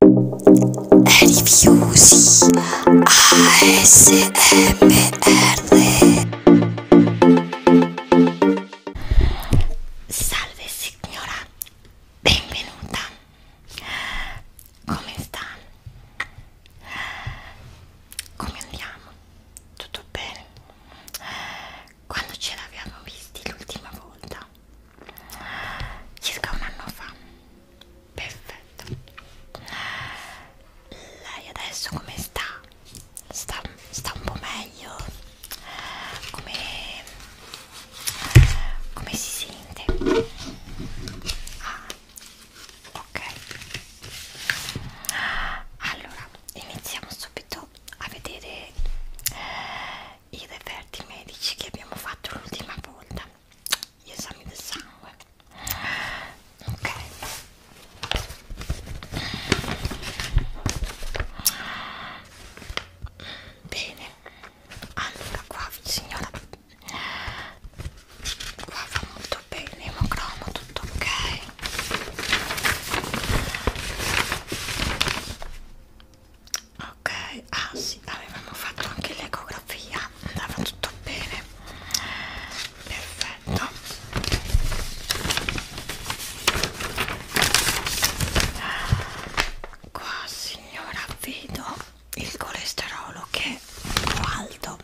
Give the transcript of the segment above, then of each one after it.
Rifiusi ASMR Salve signora, benvenuta. Come sta? Come andiamo? Tutto bene? Quando ce l'abbiamo visti l'ultima volta circa un anno fa perfetto lei adesso come sta? sta, sta un po' meglio? come, come si sente? Ah, ok allora iniziamo subito a vedere i referti medici che abbiamo fatto l'ultima volta gli esami del sangue ok bene allora qua signora qua va molto bene emocromo tutto ok ok ah sì avevamo fatto anche l'ecografia andava tutto bene perfetto qua signora vedo il colesterolo che è alto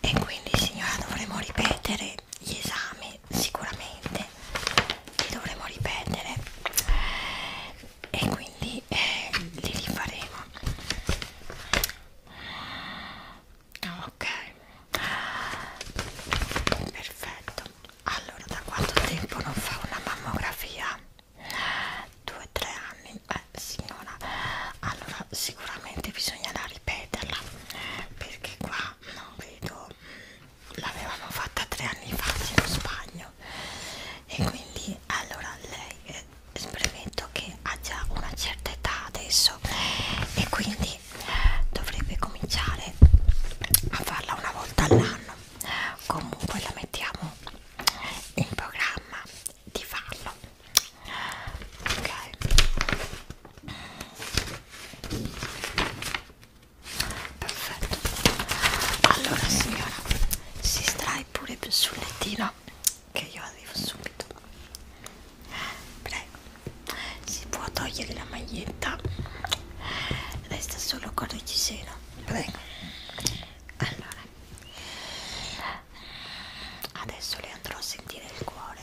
e quindi signora dovremo ripetere gli esami e sicuramente li dovremo ripetere e quindi eh, li rifaremo ok perfetto allora da quanto tempo non fa una mammografia? due tre anni eh signora allora sicuramente bisognerà ripeterla perché qua non vedo l'avevano fatta tre anni fa in Spagna e quindi allora lei eh, premetto che ha già una certa età adesso e quindi eh, dovrebbe cominciare a farla una volta all'anno comunque la mettiamo in programma di farlo ok perfetto allora signora si strai pure sul lettino che io arrivo subito prego si può togliere la maglietta resta solo con il giseno prego allora adesso le andrò a sentire il cuore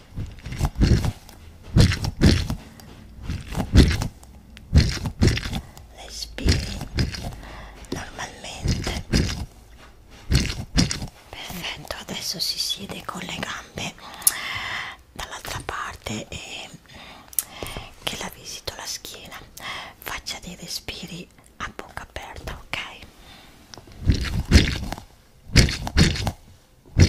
respiri normalmente perfetto adesso si siede con le gambe dall'altra parte e che la visito la schiena faccia dei respiri a bocca aperta ok ma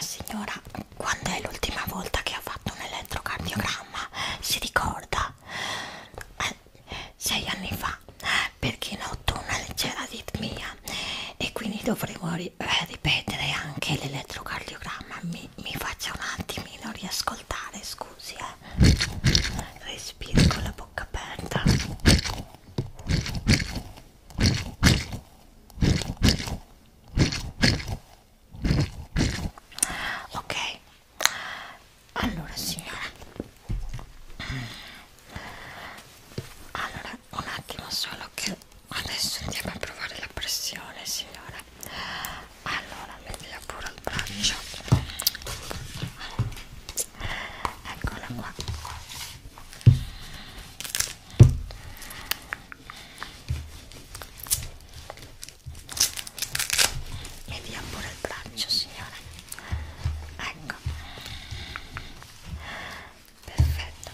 signora, quando è l'ultima volta che ha fatto un elettrocardiogramma? Si ricorda? Eh, sei anni fa, perché noto una leggera aritmia e quindi dovremo ri eh, ripetere anche l'elettrocardiogramma mi, mi faccia un attimino riascoltare scusi eh. respiro con la bocca aperta ok allora signora allora allora un attimo solo che adesso andiamo a provare la pressione signora allora mi dia pure il braccio eccola qua mi dia pure il braccio signora ecco perfetto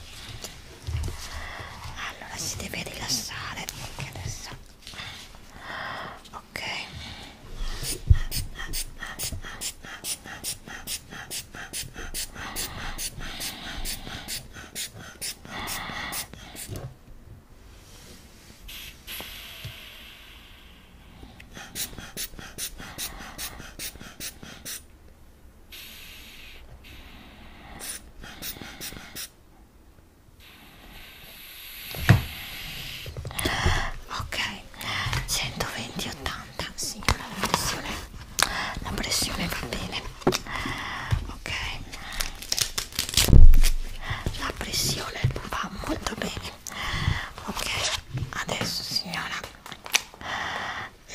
allora si deve rilassare anche adesso ok ok Ok, 120-80, signora, la pressione, la pressione va bene. Ok, la pressione va molto bene. Ok, adesso signora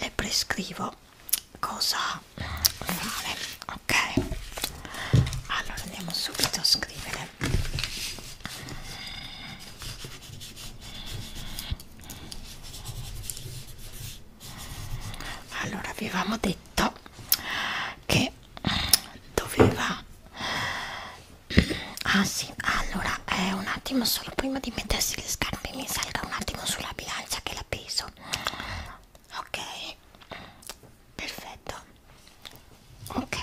le prescrivo cosa fare ok allora andiamo subito a scrivere allora avevamo detto che doveva Ah sì, allora eh, un attimo solo prima di mettersi le scarpe mi salga un attimo sulla bilancia che la peso. Ok, perfetto. Ok.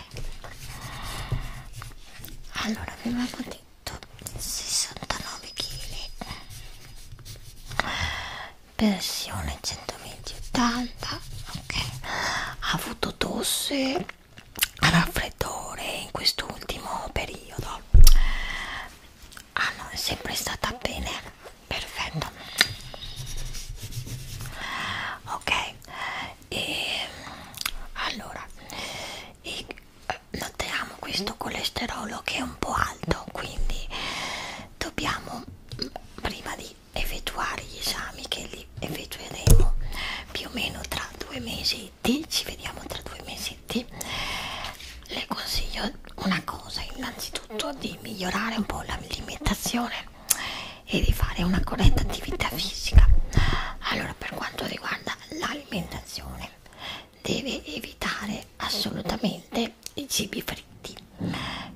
Allora avevamo detto 69 kg. Pressione 120-80. Ok. Ha avuto tosse al raffreddore in quest'ultimo periodo ah no è sempre stata bene perfetto ok e allora e eh, notiamo questo colesterolo che è un po' alto quindi dobbiamo mm, prima di effettuare gli esami che li che effettueremo più o meno tra due mesetti ci vediamo tra due mesetti le consiglio una cosa innanzitutto di migliorare un po' l'alimentazione e di fare una corretta attività fisica allora per quanto riguarda l'alimentazione deve evitare assolutamente i cibi fritti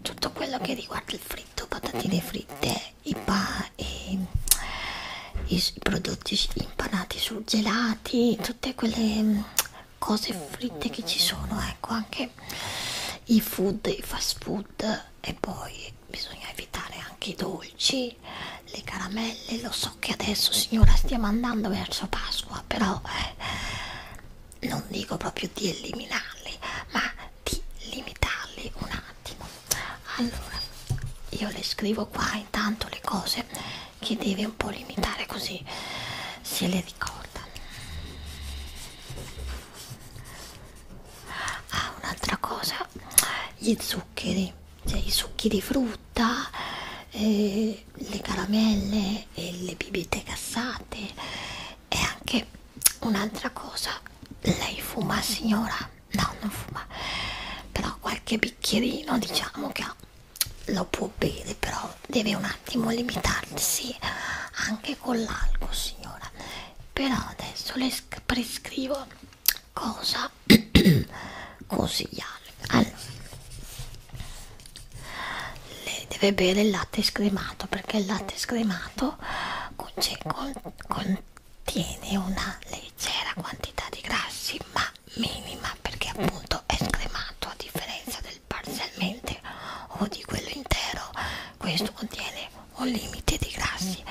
tutto quello che riguarda il fritto patatine fritte i, i, i, i prodotti impanati sul gelati, tutte quelle mm, cose fritte che ci sono, ecco anche i food, i fast food e poi bisogna evitare anche i dolci, le caramelle, lo so che adesso signora stiamo andando verso Pasqua, però eh, non dico proprio di eliminarli, ma di limitarli un attimo allora io le scrivo qua intanto le cose che deve un po' limitare così se le ricorda ah un'altra cosa gli zuccheri cioè i succhi di frutta eh, le caramelle e le bibite gassate e anche un'altra cosa lei fuma signora no non fuma però qualche bicchierino diciamo che lo può bere però deve un attimo limitarsi anche con l'alcol signora però adesso le prescrivo cosa consigliare allora lei deve bere il latte scremato perché il latte scremato contiene una leggera quantità di grassi ma minima perché appunto è scremato a differenza del parzialmente o di quello intero questo contiene un limite di grassi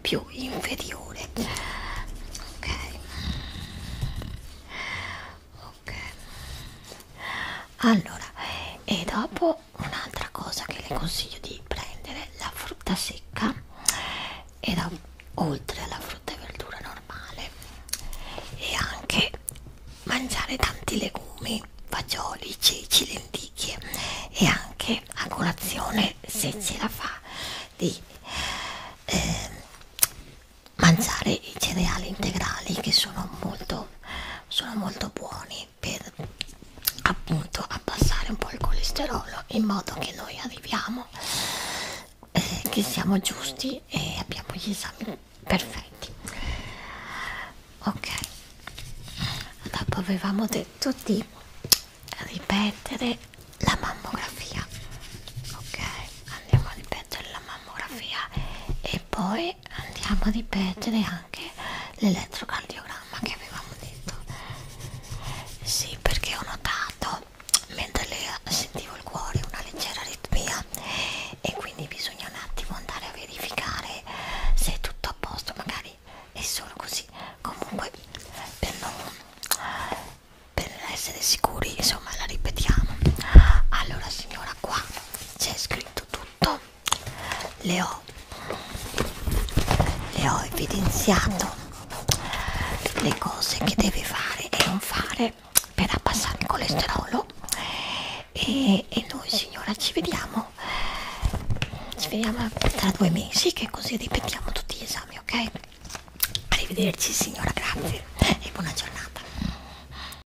più inferiore ok ok allora e dopo un'altra cosa che le eh. consiglio di prendere la frutta secca e da, oltre alla frutta e verdura normale e anche mangiare tanti legumi fagioli ceci lenticchie e anche a colazione se ce la fa di eh, mangiare i cereali integrali che sono molto sono molto buoni per appunto abbassare un po' il colesterolo in modo che noi arriviamo eh, che siamo giusti e abbiamo gli esami perfetti ok dopo avevamo detto di ripetere la mammografia ok andiamo a ripetere la mammografia e poi andiamo a ripetere anche l'elettrocardiogramma che avevamo detto sì perché ho notato mentre le sentivo il cuore una leggera ritmia e quindi bisogna un attimo andare a verificare se è tutto a posto magari è solo così comunque per non per essere sicuri insomma la ripetiamo allora signora qua c'è scritto tutto le ho, le ho evidenziato le cose che devi fare e non fare per abbassare il colesterolo e, e noi signora ci vediamo ci vediamo tra due mesi che così ripetiamo tutti gli esami ok arrivederci signora grazie e buona giornata